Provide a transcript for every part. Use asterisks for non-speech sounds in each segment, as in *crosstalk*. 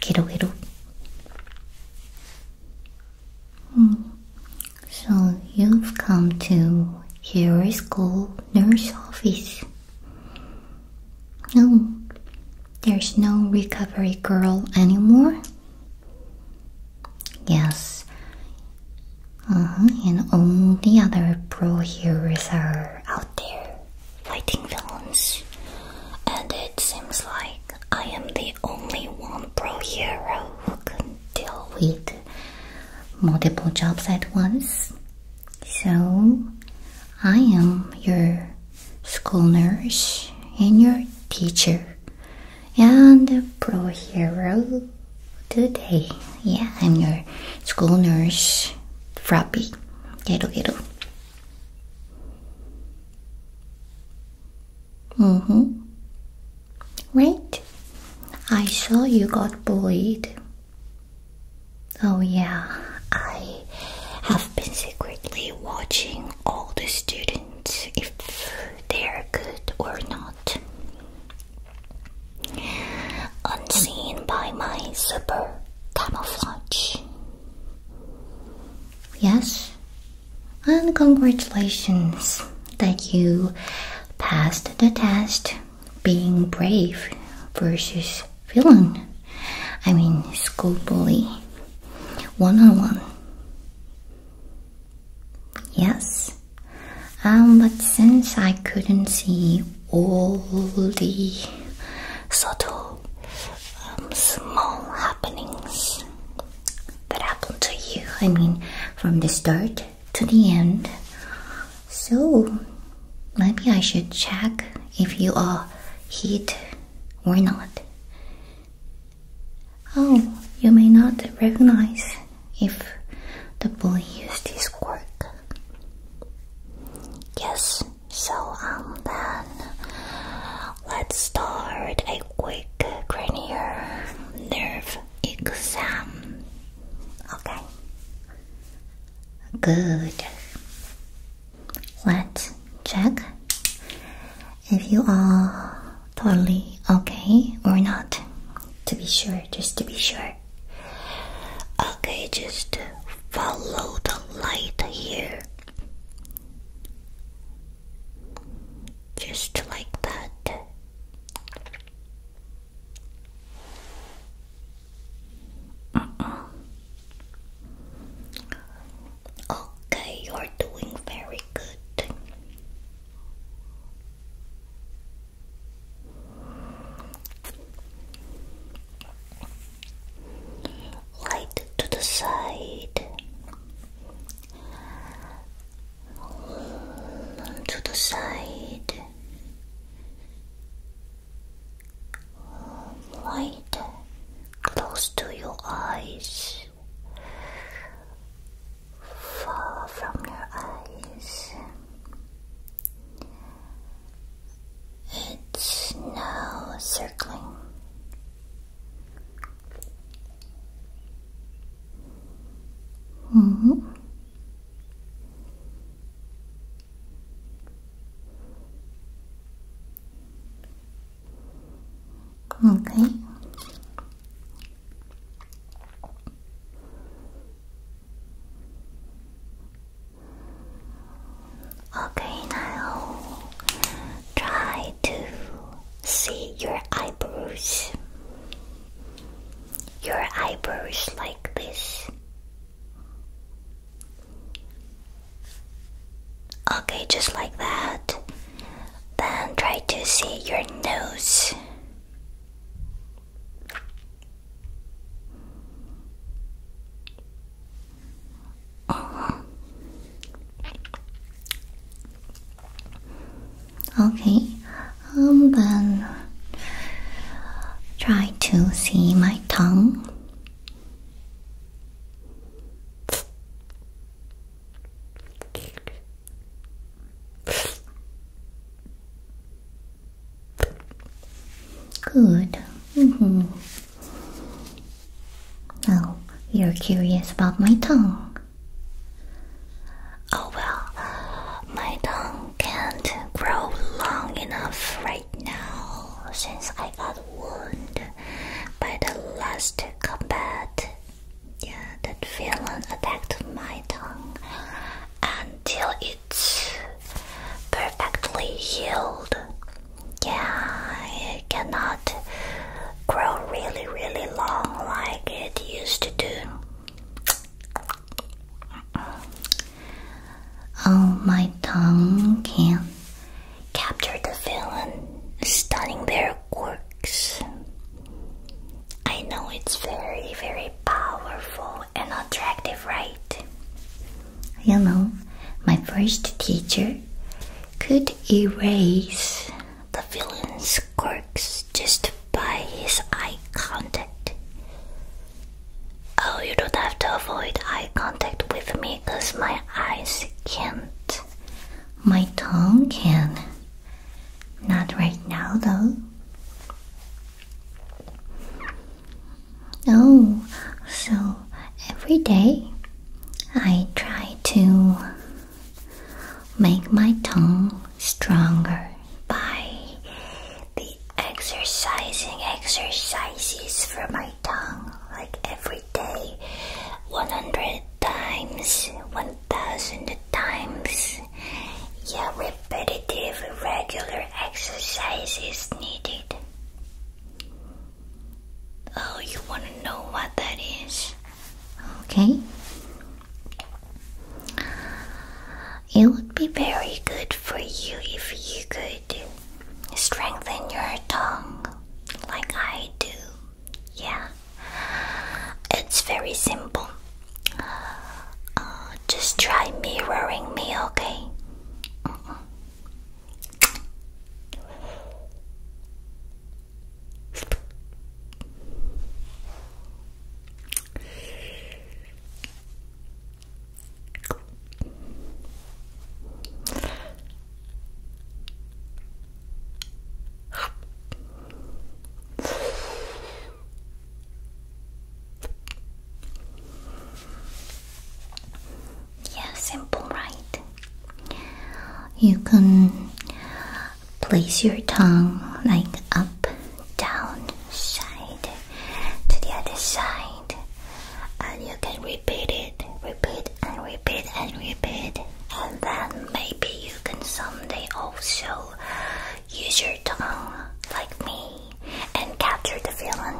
Quiero, quiero. Hmm. So you've come to your school nurse office. No, there's no recovery girl anymore. Yes. Uh-huh, and all the other pro heroes are out there fighting villains. And it seems like I am the only one pro hero who can deal with multiple jobs at once. So I am your school nurse and your teacher and a pro hero today. Yeah, I'm your school nurse, Frappy. Ghetto Ghetto. Mm-hmm. Right. I saw you got bullied. Oh yeah, I have been secretly watching all the students if they're good or not. Unseen by my super camouflage. Yes, and congratulations that you passed the test being brave versus villain. I mean, school bully. One on one. Yes. Um, but since I couldn't see all the subtle, um, small happenings that happened to you, I mean, from the start to the end, so maybe I should check if you are hit or not. Oh, you may not recognize if the boy used his quirk. Yes, so um then let's start a quick cranial nerve exam. Okay. Good. Let's check if you are totally okay or not. To be sure, just to be sure. Okay, just follow the light here. Just like that. Uh -uh. Okay, you're doing very good. Light to the side, to the side, light close to your eyes fall from your eyes. It's now circling. -hmm. Okay. Okay, now try to see your eyebrows. Your eyebrows like this. Okay, just like that. Then try to see your nose. Uh -huh. Okay, um, then try to see my tongue. Good. Now, mm-hmm. you're curious about my tongue. Oh well, my tongue can't grow long enough right now since I got wounded by the last combat yeah, that villain attacked my tongue until it's perfectly healed. Yeah, it cannot grow really, really long like it used to do. Oh, my tongue can capture the villain, stunning their core I know it's very, very powerful and attractive, right? You know, my first teacher could erase the villain's quirks just by his eye contact. Oh, you don't have to avoid eye contact with me because my eyes can't. My tongue can. Not right now, though. Oh, so every day I try to make my tongue stronger by the exercising exercises for my tongue, like every day 100 times, one thousand times. Yeah, repetitive, regular exercise is needed. Oh, you want to know what that is? Okay. It would be very good for you if you could strengthen your tongue like I do yeah it's very simple uh, just try mirroring me okay yeah, simple, right? You can place your tongue like up, down, side to the other side, and you can repeat it, repeat and repeat repeat and repeat. And then maybe you can someday also use your tongue like me and capture the feeling.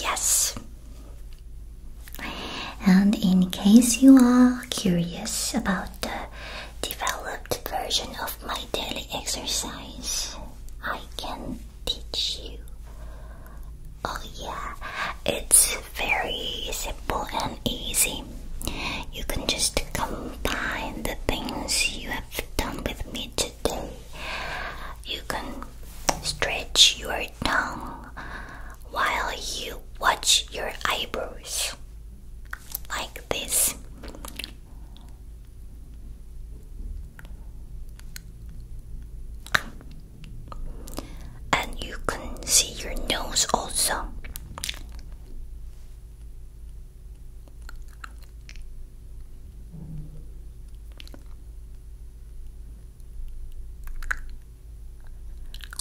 Yes. And in case you are curious about the developed version of my daily exercise, I can teach you Oh, yeah, it's very simple and easy. You can just combine the things you have done with me today. You can stretch your tongue while you watch your eyebrows like this and you can see your nose also.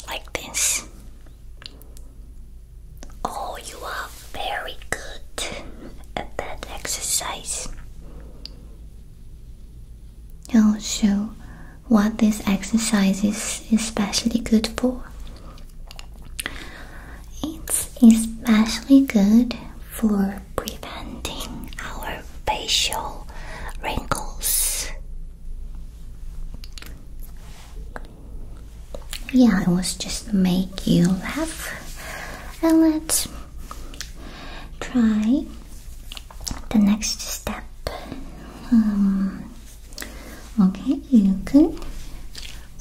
Like this. Oh, you are very good at that exercise. I'll what this exercise is especially good for. It's especially good for preventing our facial wrinkles. Yeah, I was just make you laugh. And let's try the next step. Um, okay, you can.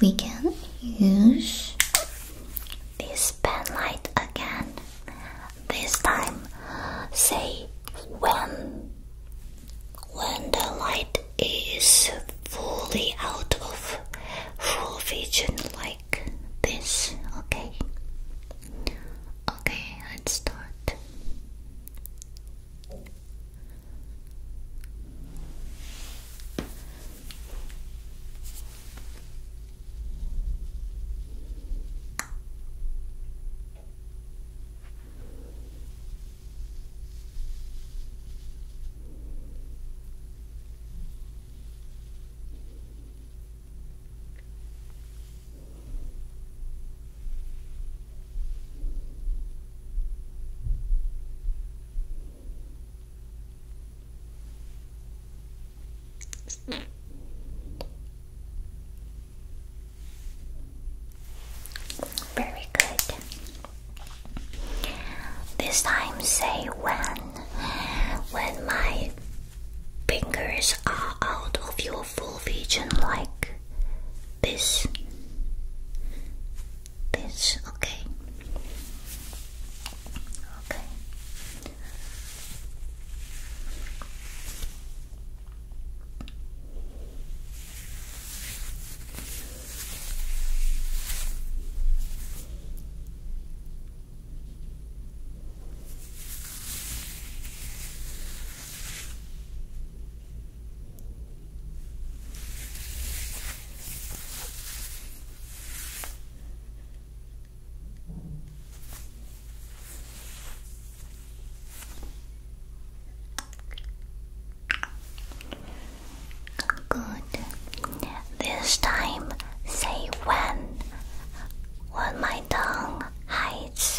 We can use this pen light again. This time, say when when the light is fully out of full vision, like this. Okay. Okay, let's start. Very good. This time, say when. When my fingers are out of your full vision like this. This, okay. Okay. Good. This time, say when. When my tongue hides.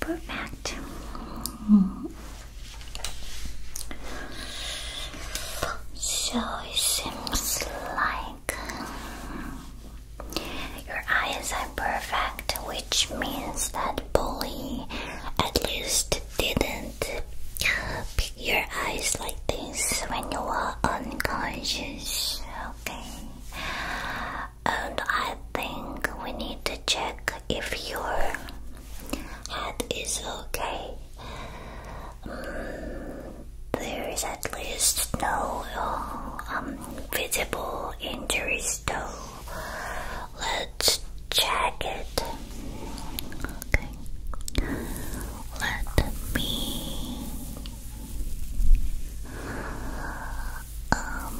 Perfect. So it seems like your eyes are perfect, which means that bully at least didn't your eyes like this when you were unconscious. Okay and I think we need to check if your head is okay. Mm, there is at least no uh, um, visible injuries, though. Let's check it. Okay. Let me um,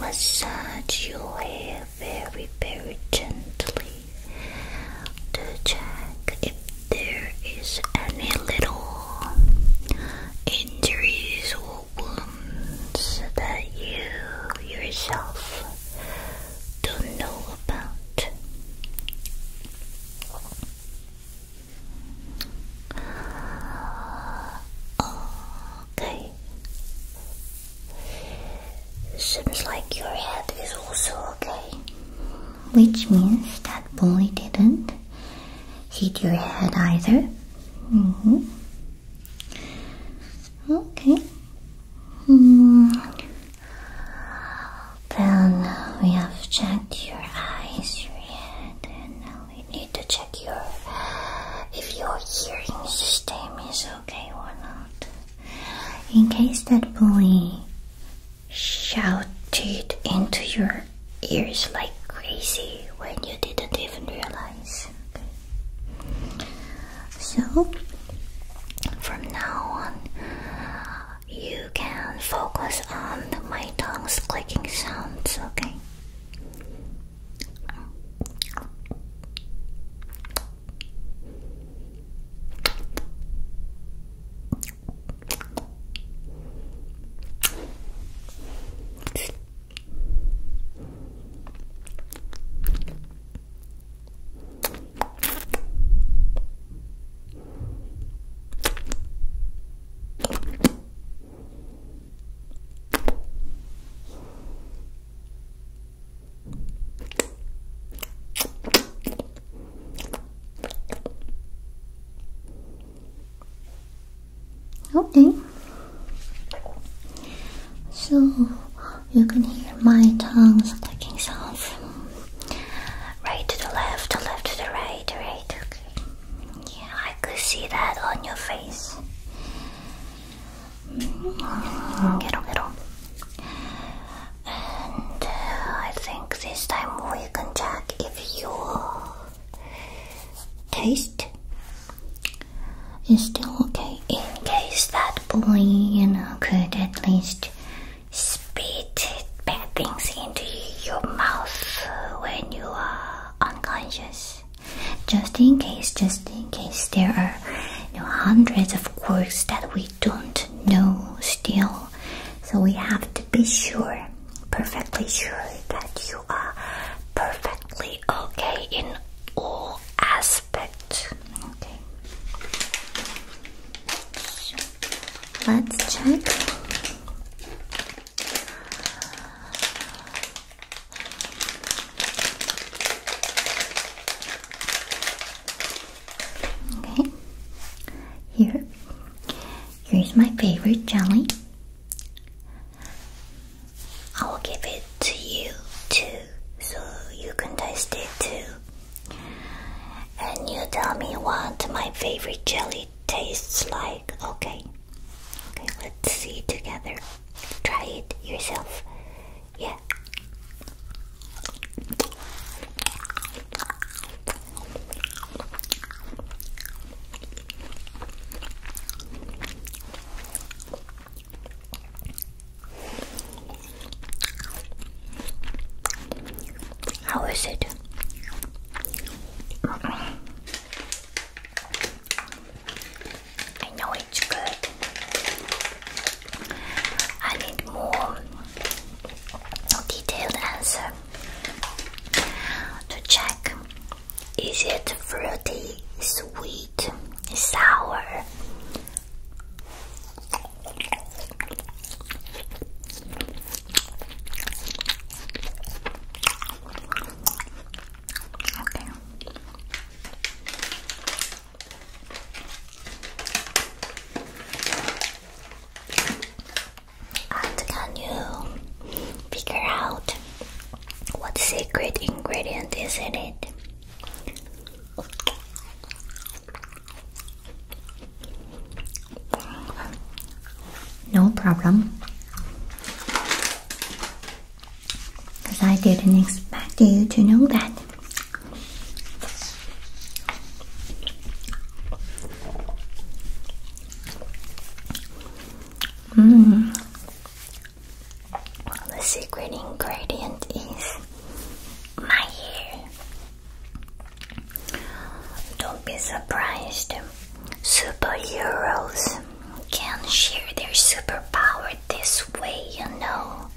massage your hair very, very gently to check if there is any little injuries or wounds that you yourself don't know about. Okay. Seems like your head is also okay. Which means that bully didn't hit your head either. Mm-hmm. -hmm. Okay. Mm. Then we have checked your eyes, your head, and now we need to check your if your hearing system is okay or not. In case that bully shouted into your ears like crazy when you didn't even realize. So from now on you can focus on my tongue's clicking sounds, okay? Okay. So you can hear my tongues clicking sounds. Right to the left, to left to the right, right, yeah, I could see that on your face. Get on, get on. And uh, I think this time we can check if your taste is still okay. In case that boy, you know, could at least spit bad things into your mouth when you are unconscious. Just in case, just in case there are hundreds of quirks that we don't know still. So we have to be sure, perfectly sure that you are perfectly okay in all aspects. Let's check. Okay, here. Here's my favorite jelly. I will give it to you too, so you can taste it too. And you tell me what my favorite jelly tastes like. Okay. Okay, let's see together. Try it yourself. Yeah. How is it? I know it's good. I need more detailed answer to check. Is it fruity, sweet, sour? And can you figure out what secret ingredient is in it? No problem. Because I didn't expect you to know that. Mm. The secret ingredient is my hair. Don't be surprised. Superheroes can share their superpower this way, you know.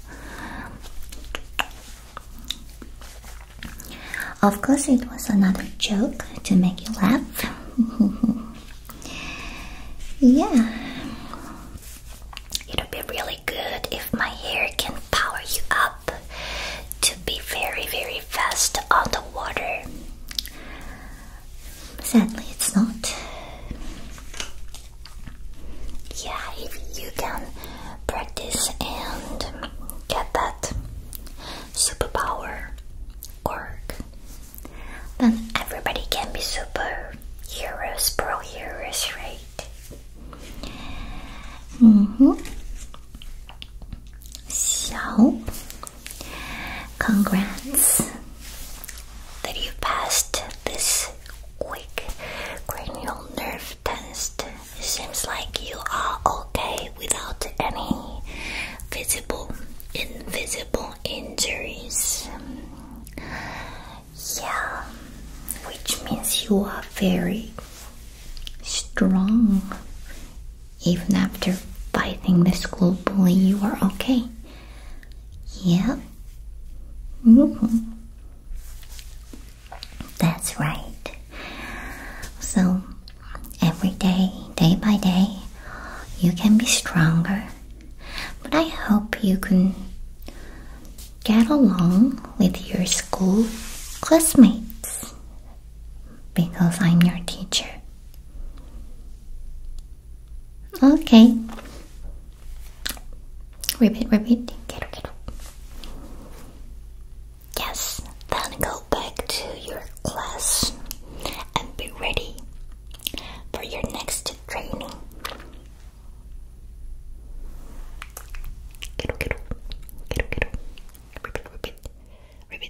Of course, it was another joke to make you laugh. *laughs* yeah. It would be really good if my hair can power you up to be very, very fast on the water. Sadly, it's not. Yeah, if you can practice and get that superpower org, then everybody can be super heroes, pro heroes, right? Mm -hmm. So, congrats that you passed this quick cranial nerve test. seems like you are okay without any visible, invisible injuries. Yeah, which means you are very strong even after biting the school bully, you are okay. Yep. Mm-hmm. That's right. So, every day, day by day, you can be stronger. But I hope you can get along with your school classmates because I'm your teacher. Okay. Repeat, repeat. Get up, Yes, then go back to your class and be ready for your next training. Get up, get up. Repeat, repeat. Repeat,